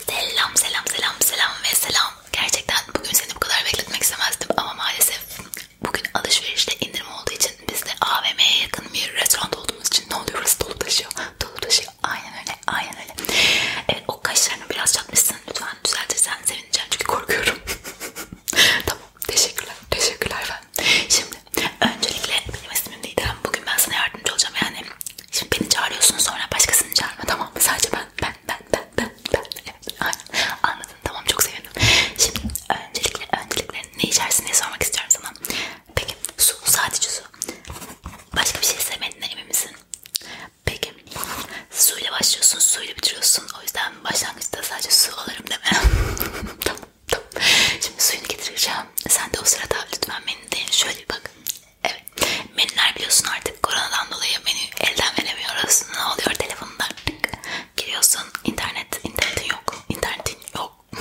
Selam selam selam selam ve selam. Gerçekten bugün seni bu kadar bekletmek istemezdim ama maalesef bugün alışverişte indirim olduğu için biz de AVM'ye yakın bir restoran olduğumuz için ne oluyor burası dolu taşıyor. Dolu taşıyor. Aynen öyle. Aynen öyle. Evet o kaşlarını biraz çatmışsın. Lütfen düzeltirsen sevineceğim çünkü korkuyorum. tamam. Teşekkürler. Teşekkürler ben. Şimdi öncelikle benim ismim Didem. Bugün ben sana yardımcı olacağım yani Şimdi beni çağırıyorsun sonra başkasını çağırma tamam mı? Sadece ben, ben, ben, ben, ben, ben. Evet, aynen. Anladın tamam çok sevindim. Şimdi öncelikle, öncelikle ne içersin diye sormak istiyorum sana. Peki su, sadece su. Başka bir şey sevmediğinden emin misin? Peki suyla başlıyorsun, suyla bitiriyorsun. O yüzden başlangıçta sadece su alırım deme. tamam, tamam. Şimdi suyunu getireceğim. Sen de o sırada lütfen beni de şöyle bir bak. Evet. Menüler biliyorsun artık koronadan dolayı menü elden veremiyoruz. Ne oluyor telefonda artık? Giriyorsun internet, internetin yok. İnternetin yok.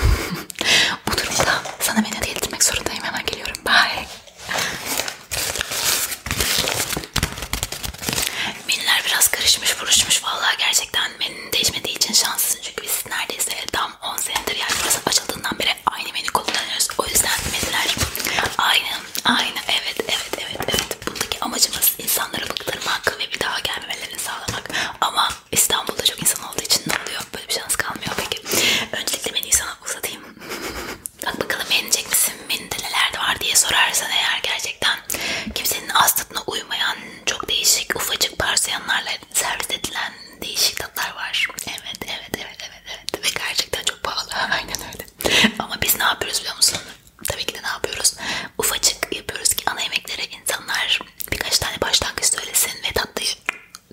Bu durumda sana menü değildirmek zorundayım. Hemen geliyorum. Bye. Menüler biraz karışmış, buruşmuş. Vallahi gerçekten menünün değişmediği için şanslısın. Çünkü biz neredeyse tam 10 senedir yani burası açıldığından beri aynı menü kullanıyoruz. O yüzden menüler aynı, aynı. Evet, evet, evet, evet. Bundaki amacımız insanları bıktırmak ve bir daha gelmemelerini sağlamak. Ama İstanbul'da çok insan olduğu için ne oluyor? Böyle bir şans kalmıyor peki. Öncelikle menüyü sana uzatayım. Bak bakalım beğenecek misin? Menüde neler var diye sorarsan eğer gerçekten kimsenin az tadına uymayan çok değişik ufacık parselyanlarla servis edilen değişik tatlar var. Evet, evet, evet, evet, evet. Ve gerçekten çok pahalı. Aynen öyle. Ama biz ne yapıyoruz biliyor musun? Tabii ki de ne yapıyoruz? Ufacık yapıyoruz ki ana yemeklere insanlar birkaç tane başlangıç söylesin ve tatlıyı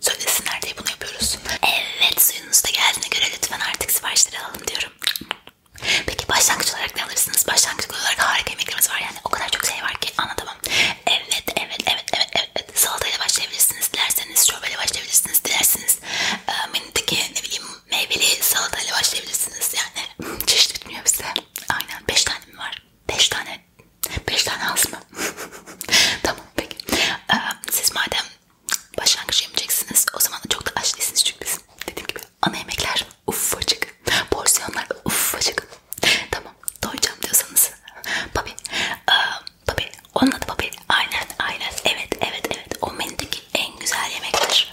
söylesinler diye bunu yapıyoruz. Evet, suyunuz da geldiğine göre lütfen artık siparişleri alalım diyorum. Peki başlangıç olarak ne alırsınız? Başlangıç olarak harika yemeklerimiz var yani o kadar çok şey var ki Okey anladım. Evet evet evet evet evet. Salatayla başlayabilirsiniz. Dilerseniz çorbayla başlayabilirsiniz. Dilerseniz e, menüdeki ne bileyim meyveli salatayla başlayabilirsiniz. Yani çeşit bitmiyor bize. Aynen 5 tane mi var? 5 tane. 5 tane az mı? tamam peki. E, siz madem başlangıç yapacaksınız o zaman da çok da aç değilsiniz çünkü biz dediğim gibi ana yemekler Ufacık. Porsiyonlar ufacık. Tamam. Doyacağım diyorsanız. Babi. Aa, babi. Onun adı babi. Aynen. Aynen. Evet. Evet. Evet. O menüdeki en güzel yemektir.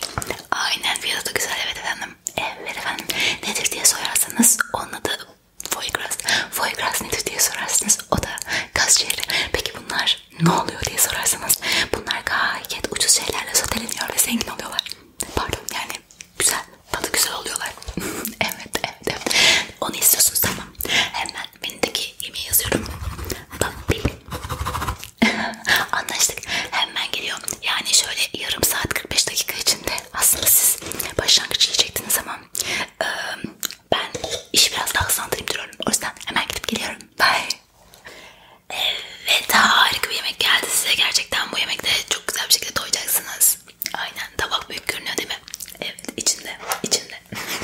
Aynen. Fiyatı da güzel. Evet efendim. Evet efendim. Nedir diye sorarsanız onun adı Foygras. Foygras nedir diye sorarsınız. O da gaz ciğeri. Peki bunlar ne oluyor diye sorarsanız bunlar gayet ucuz şeylerle soteleniyor ve zengin oluyorlar. Pardon yani güzel. Tadı güzel oluyorlar. evet, evet evet. Onu istiyorsunuz tamam. Hemen menüdeki yemeği yazıyorum. Anlaştık. Hemen geliyor. Yani şöyle yarım saat 45 dakika içinde aslında siz başlangıç yiyecektiniz ama ben işi biraz daha hızlandırayım diyorum. O yüzden hemen gidip geliyorum. Bye. Evet harika bir yemek geldi size. Gerçekten bu yemekte çok güzel bir şekilde doyacaksınız. Aynen tabak büyük görünüyor değil mi? Evet içinde içinde.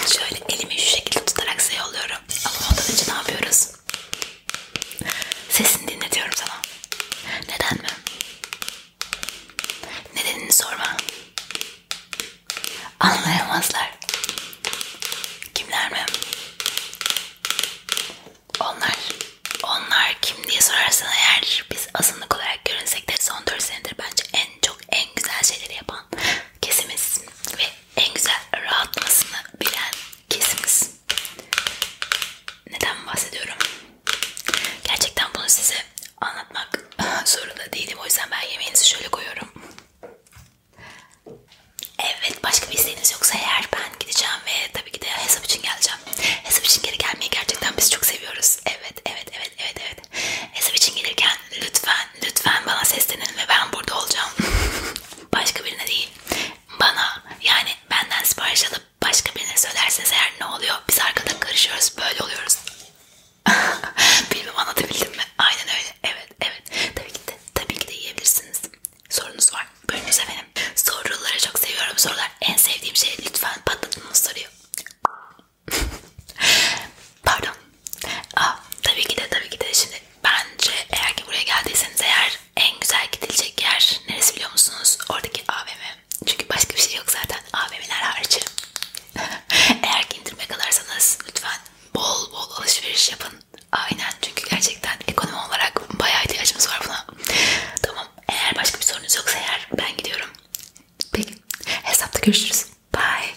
Şöyle elimi şu şekilde tutarak size yolluyorum. Ama ondan önce ne yapıyoruz? Sesini dinletiyorum sana. Neden mi? Nedenini sorma. Anlayamazlar. Kimler mi? Onlar, onlar kim diye sorarsan eğer biz azınlık olarak görünsek de son 4 senedir bence en çok en güzel şeyleri yapan kesimiz ve en güzel rahatlamasını bilen kesimiz. Neden bahsediyorum? Gerçekten bunu size anlatmak zorunda değilim. O yüzden ben yemeğinizi şöyle koyuyorum. Evet başka bir isteğiniz yoksa eğer ben gideceğim ve tabii ki de hesap için geleceğim. Hesap için geri gelmeyi gerçekten biz çok seviyoruz. Evet evet evet evet evet. Hesap için gelirken lütfen lütfen bana seslenin ve ben burada olacağım. başka birine değil. Bana yani benden sipariş alıp başka birine söylerseniz eğer ne oluyor? Biz arkada karışıyoruz böyle oluyoruz. Bilmem anlatabildim mi? Aynen öyle. Evet, evet. Tabii ki de, tabii ki de yiyebilirsiniz. Sorunuz var. Buyurunuz efendim. Soruları çok seviyorum. Sorular en sevdiğim şey. Lütfen patlatınız soruyu. Pardon. Aa, tabii ki de, tabii ki de. Şimdi bence eğer ki buraya geldiyseniz eğer en güzel gidilecek yer neresi biliyor musunuz? Oradaki AVM. Çünkü başka bir şey yok zaten. AVM'ler hariç. Eğer ki indirime kalırsanız lütfen bol bol alışveriş yapın. Aynen çünkü gerçekten ekonomi olarak bayağı ihtiyacımız var buna. Tamam eğer başka bir sorunuz yoksa eğer ben gidiyorum. Peki hesapta görüşürüz. Bye.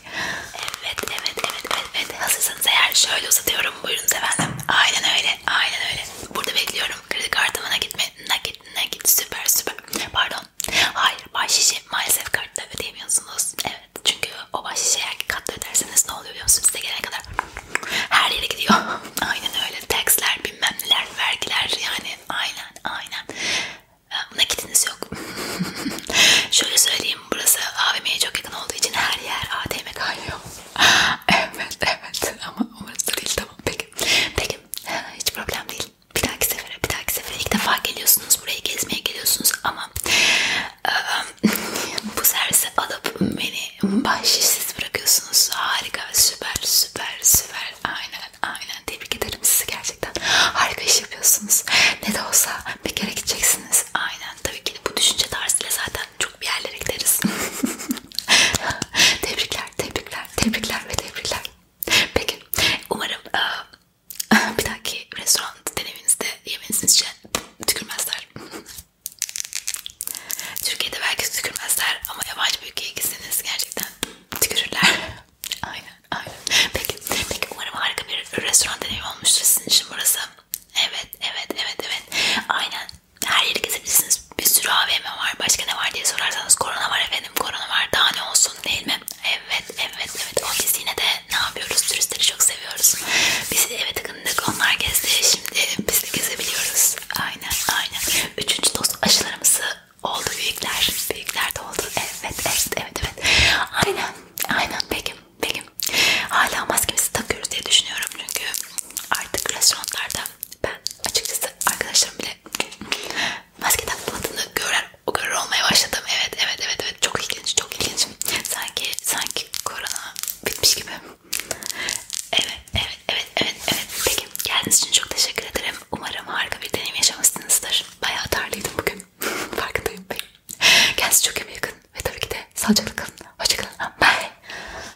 Evet evet evet evet, evet. hazırsanız eğer şöyle uzatıyorum buyurun efendim. Aynen öyle aynen öyle. Burada bekliyorum kredi kartıma nakit mi? Nakit nakit süper süper. Pardon Hayır, bahşişi maalesef kartla ödeyemiyorsunuz. Evet, çünkü o bahşişi eğer ki kartla öderseniz ne oluyor biliyor musunuz? Size gelene kadar her yere gidiyor. aynen öyle. Taxler, bilmem neler, vergiler yani aynen aynen. Ee, Nakitiniz yok. Şöyle söyleyeyim, burası AVM'ye çok yakın olduğu için her yer ATM kaynıyor. evet, evet ama orası da değil tamam peki. Peki, hiç problem değil olsun. Bir dahaki sefere, bir dahaki sefere ilk defa geliyorsunuz, buraya gezmeye geliyorsunuz ama ıı, bu servise alıp beni bahşişsiz bırakıyorsunuz. Harika, süper, süper, süper. Aynen, aynen. Tebrik ederim sizi gerçekten. Harika iş yapıyorsunuz. Ne de olsa bir kere gideceksiniz. Aynen. Tabii ki bu düşünce tarzıyla zaten çok bir yerlere gideriz. tebrikler, tebrikler, tebrikler ve tebrikler. Peki umarım uh, bir dahaki restoran deneminizde yemeğinizce tükürmezler. Türkiye'de belki tükürmezler ama yabancı bir ülkeye gitseniz gerçekten tükürürler. aynen aynen. Peki, peki umarım harika bir restoran deneyimi olmuştur sizin için burası. Evet evet evet evet. Aynen her yeri gezebilirsiniz bir sürü AVM var. Başka ne var diye sorarsanız korona var efendim. Korona var. Daha ne olsun değil mi? Evet, evet, evet. O biz yine de ne yapıyoruz? Turistleri çok seviyoruz. Biz eve takındık. Onlar gezdi. Şimdi biz de gezebiliyoruz. Aynen, aynen. Üçüncü doz aşılarımızı oldu büyükler. Büyükler de oldu. Evet, evet, evet, evet. Aynen, aynen. Peki, peki. Hala maskemizi takıyoruz diye düşünüyorum çünkü artık restoranlarda söyleyeceğim. Ben açıkçası arkadaşlarım bile maske takmadığını görür, görür olmaya başladım. Evet, evet, evet, evet. Çok ilginç, çok ilginç. Sanki, sanki korona bitmiş gibi. Evet, evet, evet, evet, evet. Peki, geldiğiniz için çok teşekkür ederim. Umarım harika bir deneyim yaşamışsınızdır. Bayağı tarlıydım bugün. Farkındayım. Peki. Kendinize çok iyi bakın ve tabii ki de sağlıcakla kalın. Hoşçakalın. Bye.